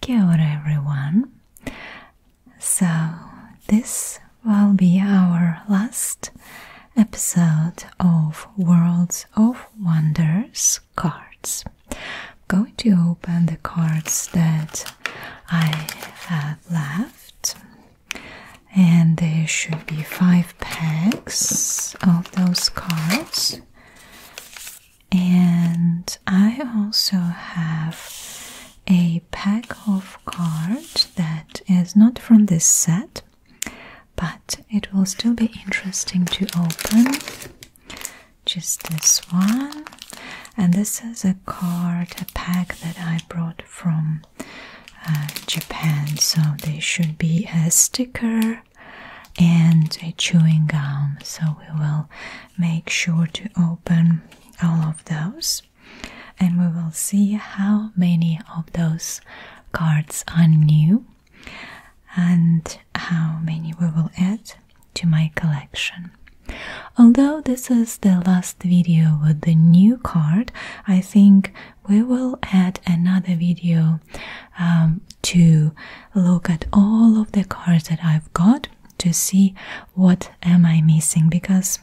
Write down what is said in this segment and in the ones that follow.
Kia everyone. So, this will be our last episode of Worlds of Wonders cards. going to open the cards that I have left. And there should be five packs of those cards. And I also have a pack of cards that is not from this set, but it will still be interesting to open. Just this one and this is a card a pack that I brought from uh, Japan so they should be a sticker and a chewing gum so we will make sure to open all of those and we will see how many of those cards are new and how many we will add to my collection Although this is the last video with the new card, I think we will add another video um, to look at all of the cards that I've got to see what am I missing because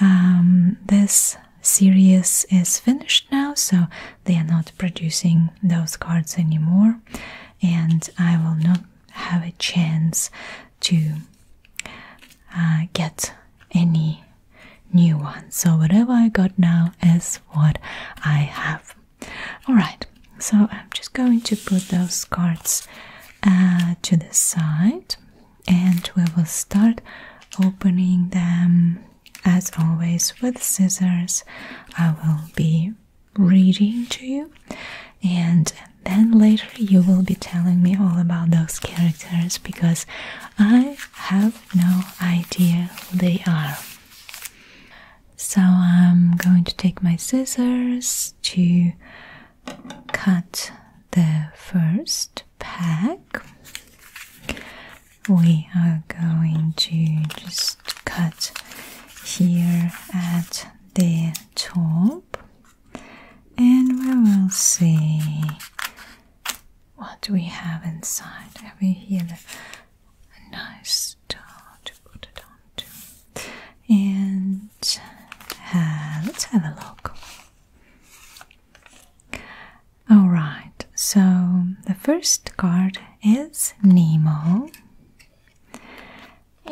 um, this series is finished now, so they are not producing those cards anymore, and I will not have a chance to uh, get any new ones. So, whatever I got now is what I have. Alright, so I'm just going to put those cards uh, to the side and we will start opening them as always with scissors. I will be reading to you, and then later you will be telling me all about those characters because I have no idea who they are. So I'm going to take my scissors to cut the first pack. We are going to just cut here at the top and we will see what we have inside. Have you here a nice towel to put it on And uh, let's have a look. Alright, so the first card is Nemo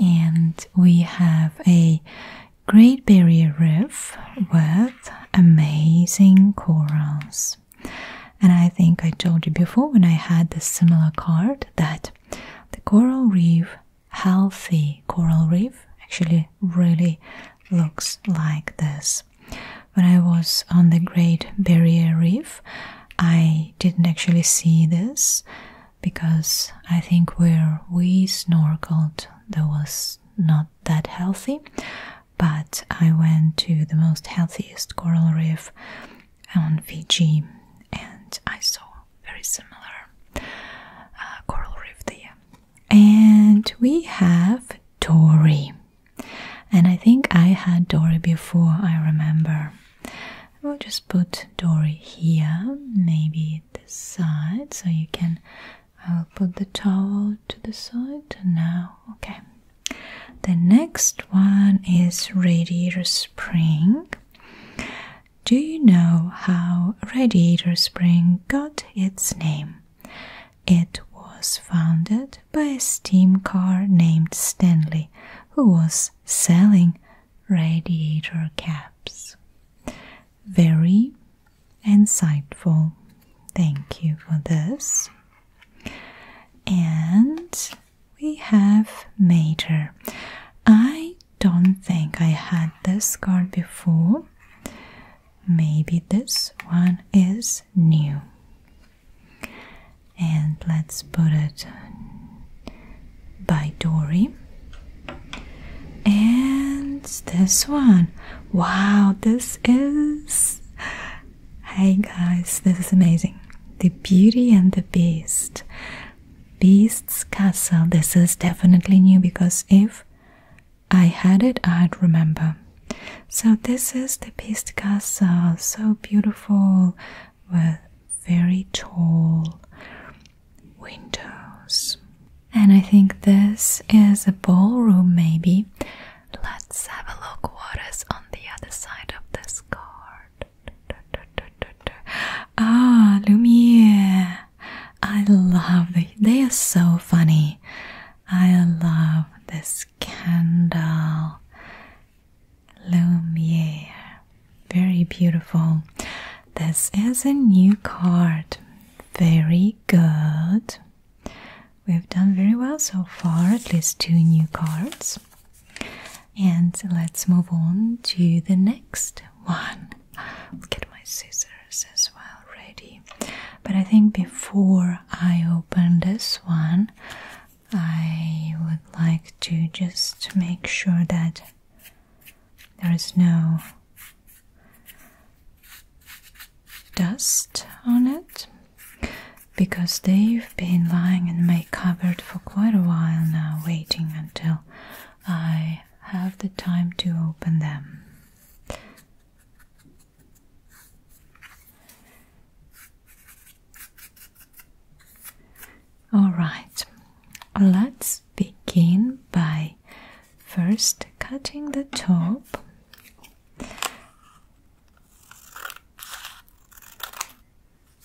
and we have a Great Barrier Reef with amazing corals. And I think I told you before when I had this similar card that the coral reef, healthy coral reef, actually really looks like this. When I was on the Great Barrier Reef, I didn't actually see this because I think where we snorkeled there was not that healthy, but I went to the most healthiest coral reef on Fiji and I saw very similar uh, coral reef there. And we have Dory, and I think I had Dory before I remember i will just put Dory here, maybe at the side, so you can. I'll put the towel to the side now. Okay. The next one is radiator spring. Do you know how Radiator Spring got its name? It was founded by a steam car named Stanley, who was selling radiator caps. Very insightful. Thank you for this. And we have major. I don't think I had this card before. Maybe this one is new. And let's put it by Dory. And this one. Wow, this is. Hey guys, this is amazing. The Beauty and the Beast. Beast's Castle. This is definitely new because if I had it, I'd remember. So, this is the Beast's Castle. So beautiful with very tall windows. And I think this is a ballroom, maybe. Let's have a look what is on the other side of this card. Ah, Lumiere! I love it. They are so funny. I love this candle. Lumiere. Very beautiful. This is a new card. Very good. We've done very well so far, at least two new cards. And let's move on to the next one. get my scissors as well ready. But I think before I open this one, I would like to just make sure that there is no dust on it because they've been lying in my cupboard for quite a while now, waiting until I have the time to open them. All right, let's begin by first cutting the top.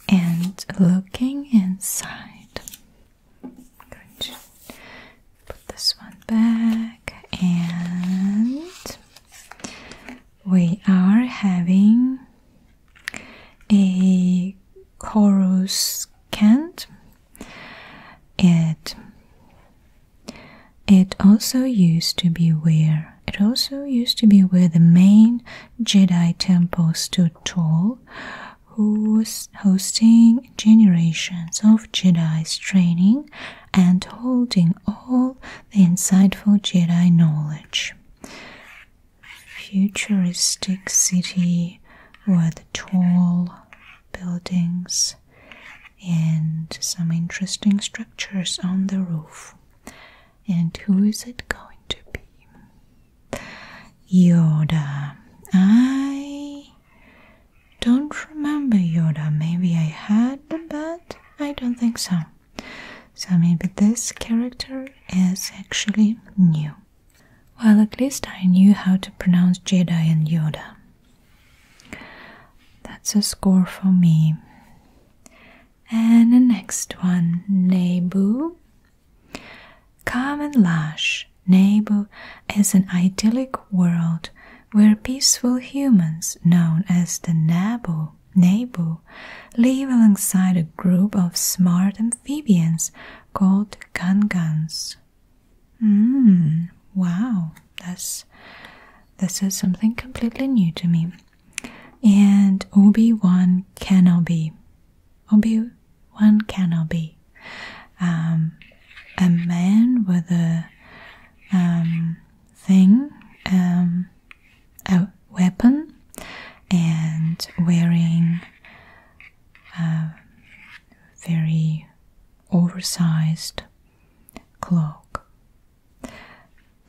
And looking inside, going to put this one back, and we are having a chorus chant. It it also used to be where it also used to be where the main Jedi temple stood tall, who hosting generations of Jedi's training and holding all the insightful Jedi knowledge futuristic city with tall buildings and some interesting structures on the roof. And who is it going to be? Yoda. I don't remember Yoda. Maybe I had, but I don't think so. So maybe this character is actually new. Well, at least I knew how to pronounce Jedi and Yoda. That's a score for me. And the next one, Nebu. Calm and lush, Nebu is an idyllic world where peaceful humans, known as the Nabu, Nebu, live alongside a group of smart and amphibians called gangans. Mmm, wow, that's this is something completely new to me. And Obi-Wan Kenobi. Obi-Wan Kenobi. Um, a man with a um, thing, um, weapon and wearing a uh, very oversized cloak.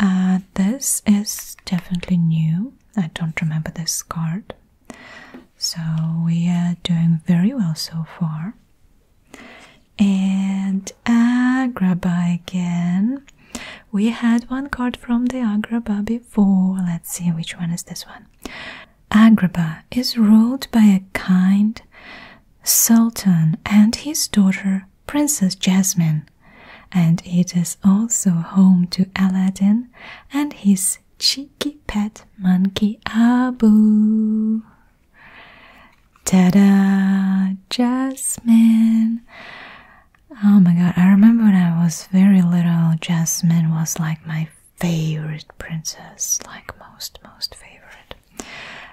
Uh, this is definitely new. I don't remember this card. So we are doing very well so far. And uh, grab Agrabah again. We had one card from the Agrabah before. Let's see which one is this one. Agrabah is ruled by a kind sultan and his daughter, Princess Jasmine, and it is also home to Aladdin and his cheeky pet monkey Abu. Ta da! Jasmine! Oh my god, I remember when I was very little, Jasmine was like my favorite princess, like most, most favorite.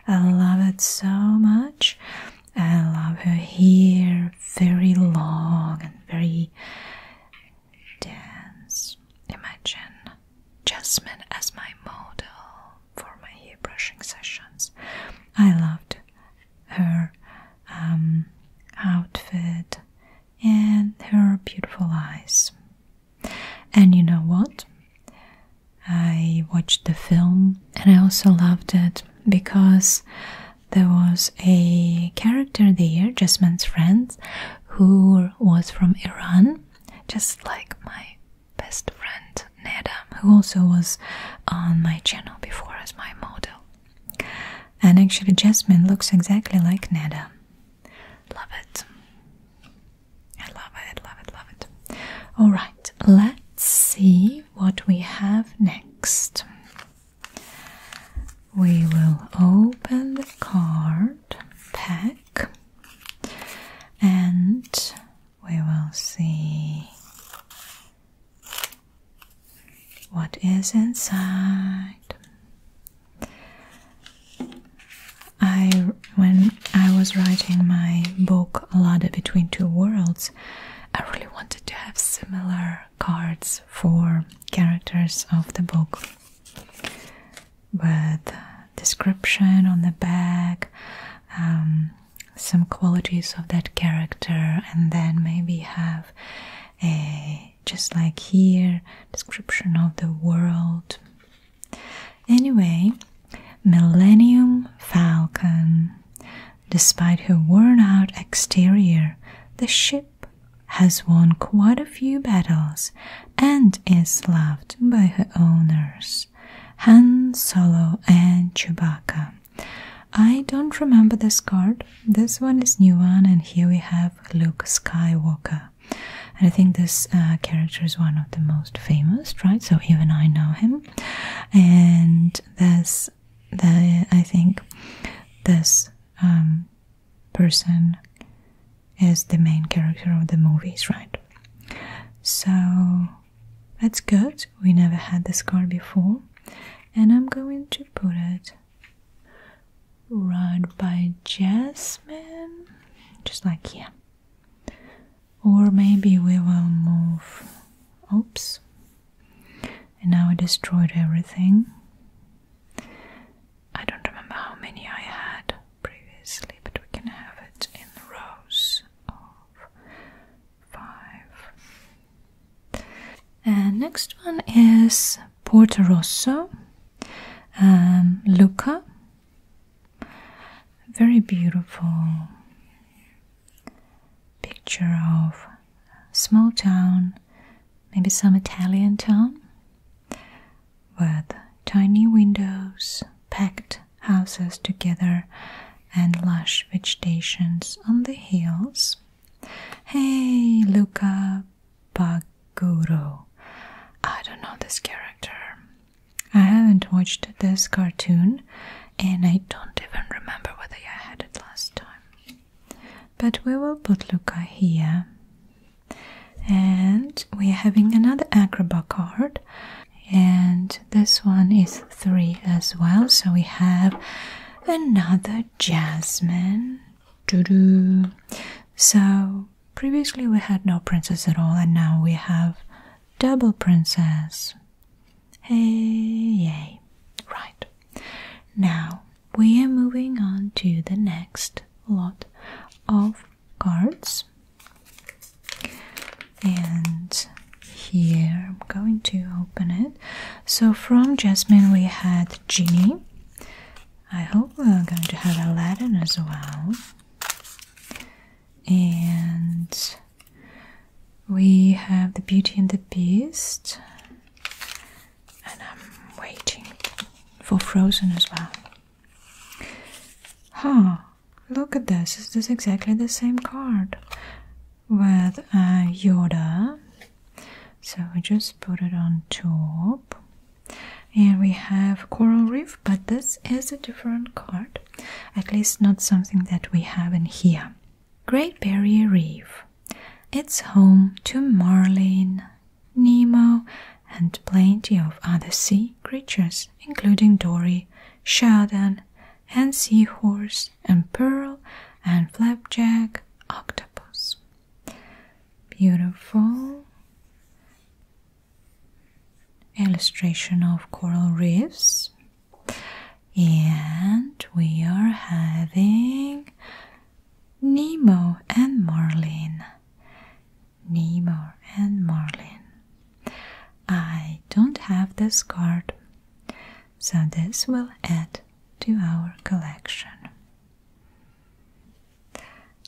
I love it so much. I love her hair, very long and very dance. Imagine Jasmine as my model for my hair brushing sessions. I loved her um, outfit and her beautiful eyes. And you know what? I watched the film and I also loved it because there was a character there, Jasmine's friend, who was from Iran, just like my best friend Neda, who also was on my channel before as my model. And actually, Jasmine looks exactly like Nada. Love it. I love it, love it, love it. Alright, let's see what we have next. We will open the card pack and we will see what is inside? I when I was writing my book Lada Between Two Worlds, I really wanted to have similar cards for characters of the book with description on the back, um, some qualities of that character, and then maybe have uh, just like here, description of the world. Anyway, Millennium Falcon. Despite her worn out exterior, the ship has won quite a few battles and is loved by her owners, Han Solo and Chewbacca. I don't remember this card. This one is new one, and here we have Luke Skywalker. And I think this uh, character is one of the most famous, right? So even I know him. And this, the I think this um, person is the main character of the movies, right? So that's good. We never had this card before, and I'm going to put it Run by Jasmine, just like yeah. Or maybe we will move. Oops. And now I destroyed everything. I don't remember how many I had previously, but we can have it in rows five. And next one is Porto Rosso, um, Lucca. Very beautiful picture of small town, maybe some Italian town, with tiny windows, packed houses together, and lush vegetations on the hills. Hey, Luca Baguro. I don't know this character. I haven't watched this cartoon and I don't even remember whether I had it last time. But we will put Luca here. And we are having another Acrobat card. And this one is three as well. So we have another Jasmine. Doo -doo. So previously we had no princess at all, and now we have double princess. Hey, yay! Right now we are moving on to the next lot of cards, and here i'm going to open it so from jasmine we had ginny i hope we're going to have aladdin as well and we have the beauty and the beast and i'm waiting for frozen as well huh look at this This is exactly the same card with uh, yoda so we just put it on top and we have coral reef but this is a different card at least not something that we have in here great barrier reef it's home to marlin nemo and plenty of other sea creatures including dory Sheldon, and seahorse and pearl and flapjack octopus. Beautiful illustration of coral reefs. And we are having Nemo and Marlin. Nemo and Marlin. I don't have this card, so this will add to our collection.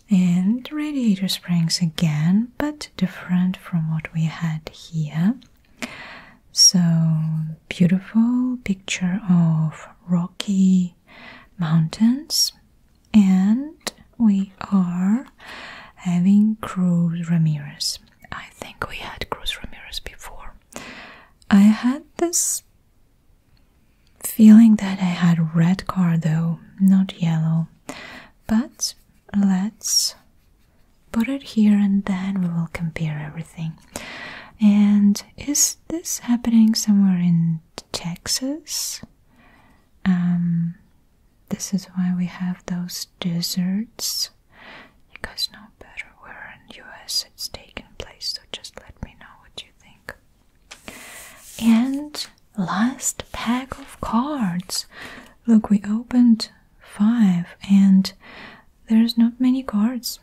And radiator springs again, but different from what we had here. So, beautiful picture of rocky mountains, and we are having Cruz Ramirez. I think we had Cruz Ramirez before. I had this feeling that I had red car though, not yellow. But let's put it here and then we will compare everything. And is this happening somewhere in Texas? Um, this is why we have those deserts. You guys know better where in US it's taking place, so just let me know what you think. And last pack of cards. Look, we opened five, and there's not many cards,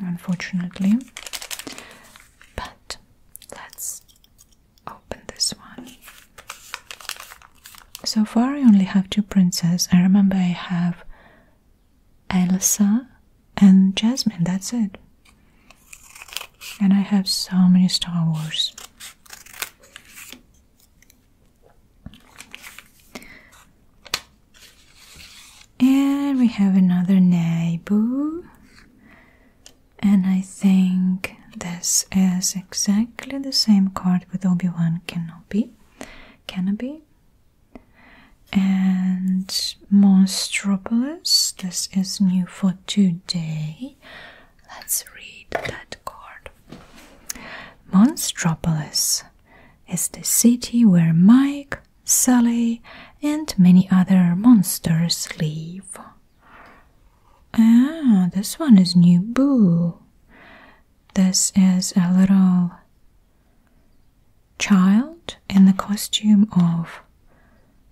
unfortunately. But let's open this one. So far, I only have two princess. I remember I have Elsa, and Jasmine. That's it. And I have so many Star Wars. And we have another neighbor. And I think this is exactly the same card with Obi-Wan Kenobi. Kenobi and Monstropolis. This is new for today. Let's read that card. Monstropolis is the city where Mike, Sally, and many other monsters live. Ah, this one is new. Boo! This is a little child in the costume of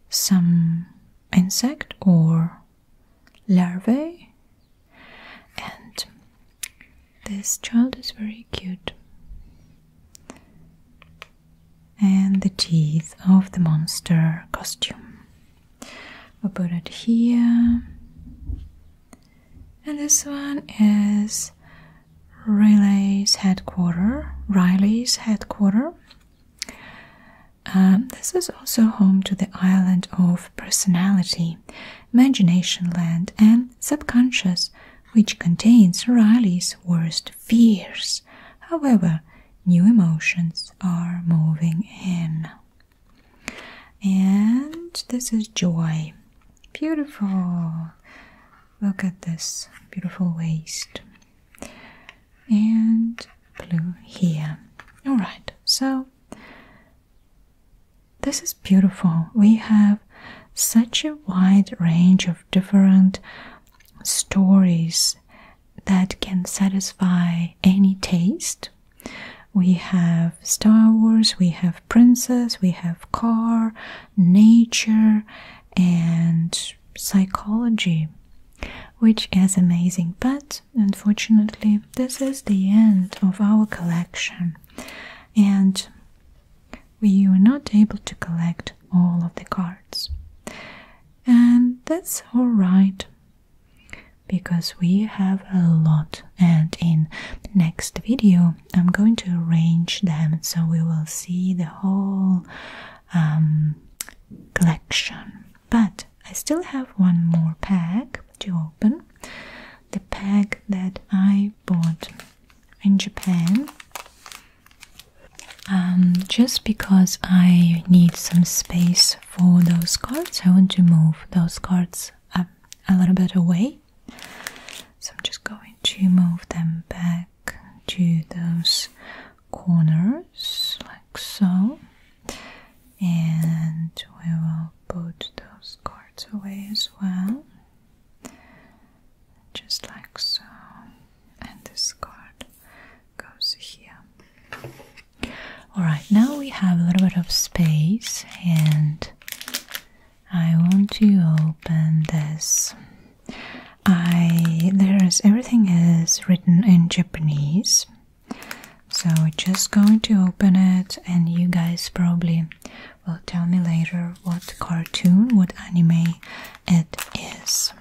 some insect or larvae, and this child is very cute. And the teeth of the monster costume. I put it here. And this one is Riley's headquarters. Riley's headquarters. Um, this is also home to the island of personality, imagination land, and subconscious, which contains Riley's worst fears. However, new emotions are moving in. And this is joy. Beautiful. Look at this beautiful waist. And blue here. Alright, so this is beautiful. We have such a wide range of different stories that can satisfy any taste we have Star Wars, we have Princess, we have Car, Nature, and Psychology, which is amazing. But unfortunately, this is the end of our collection, and we were not able to collect all of the cards. And that's alright because we have a lot and in next video I'm going to arrange them so we will see the whole um, collection but I still have one more pack to open the pack that I bought in Japan um, just because I need some space for those cards I want to move those cards up a little bit away so I'm just going to move them back to those corners like so and we will put those cards away as well just like so and this card goes here Alright, now we have a little bit of space and I want to open this. I there is everything is written in Japanese. So just going to open it and you guys probably will tell me later what cartoon, what anime it is.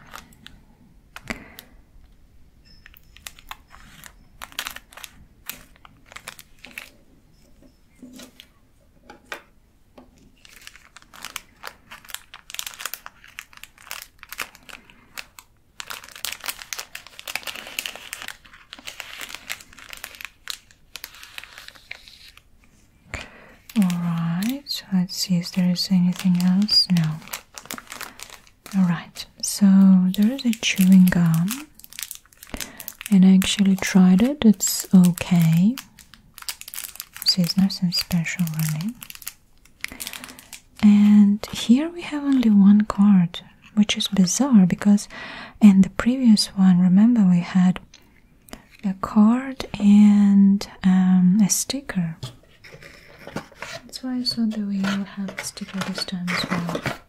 All right, let's see if there is anything else. No. All right, so there is a chewing gum and I actually tried it, it's okay. So it's nothing special really. And here we have only one card, which is bizarre because in the previous one, remember we had a card and um, a sticker. That's why I thought that we will have a sticker this time as well.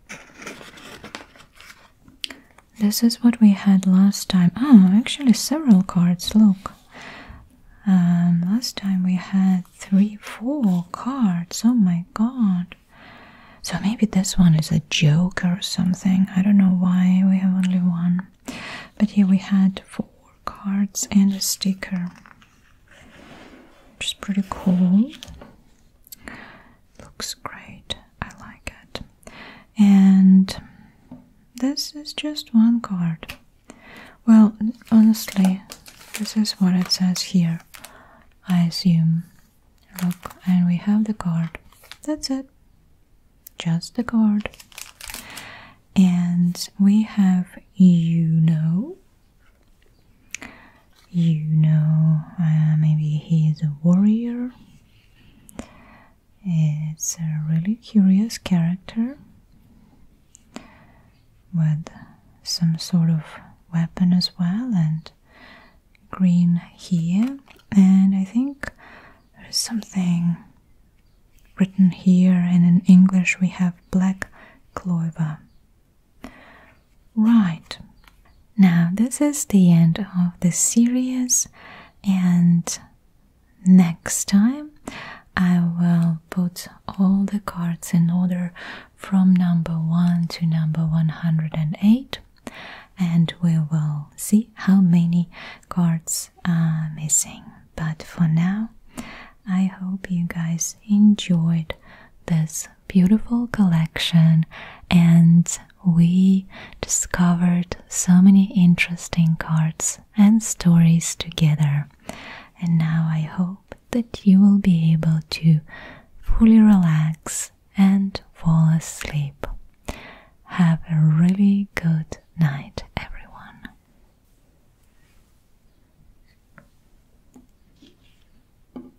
This is what we had last time. Oh, actually, several cards. Look. Um, last time we had three, four cards. Oh my god. So maybe this one is a joker or something. I don't know why we have only one. But here we had four cards and a sticker, which is pretty cool looks great. I like it. And this is just one card. Well, honestly, this is what it says here. I assume. Look, and we have the card. That's it. Just the card. And we have you know you know, uh, maybe he is a warrior. It's a really curious character with some sort of weapon as well and green here and I think there's something written here and in English we have black clover Right. Now, this is the end of the series, and next time I will put all the cards in order from number 1 to number 108, and we will see how many cards are missing. But for now, I hope you guys enjoyed this beautiful collection and we discovered so many interesting cards and stories together. And now I hope that you will be able to fully relax and fall asleep. Have a really good night, everyone.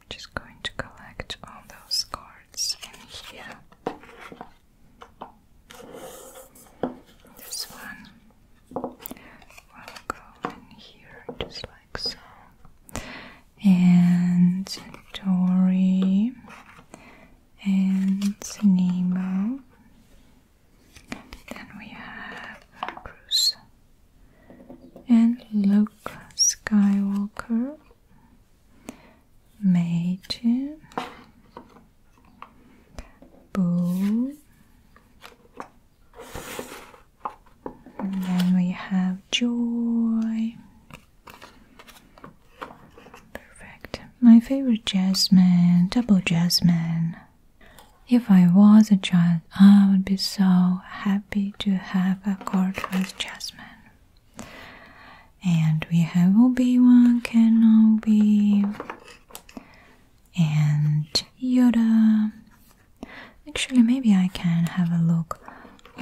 I'm just going to collect all those cards in here. This one will go in here just like so. And Dory and Nemo. Then we have Bruce and Luke Skywalker, Meiji, Boo, and then we have Joy. Perfect. My favorite Jasmine, double Jasmine. If I was a child, I would be so happy happy to have a card with jasmine. And we have Obi-Wan Kenobi and Yoda. Actually, maybe I can have a look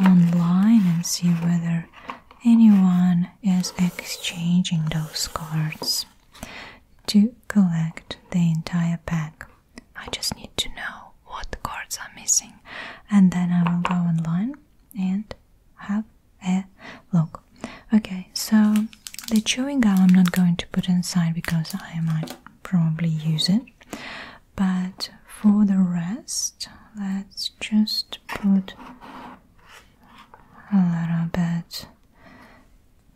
online and see whether anyone is exchanging those cards to collect the entire pack. I just need to know what cards are missing, and then I will go online and have a look. Okay, so the chewing gum I'm not going to put inside because I might probably use it, but for the rest, let's just put a little bit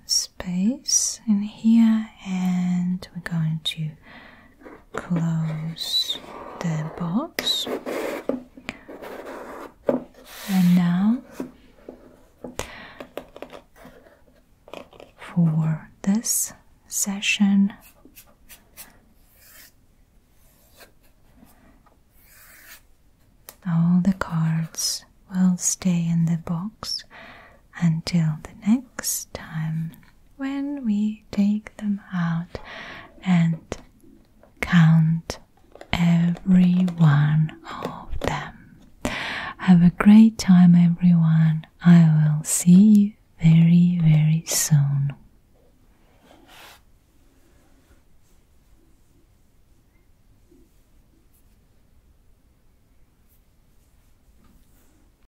space in here and we're going to close the box and now for this session all the cards will stay in the box until the next time when we take them out and count every one of them. Have a great time, everyone. I will see you very, very soon.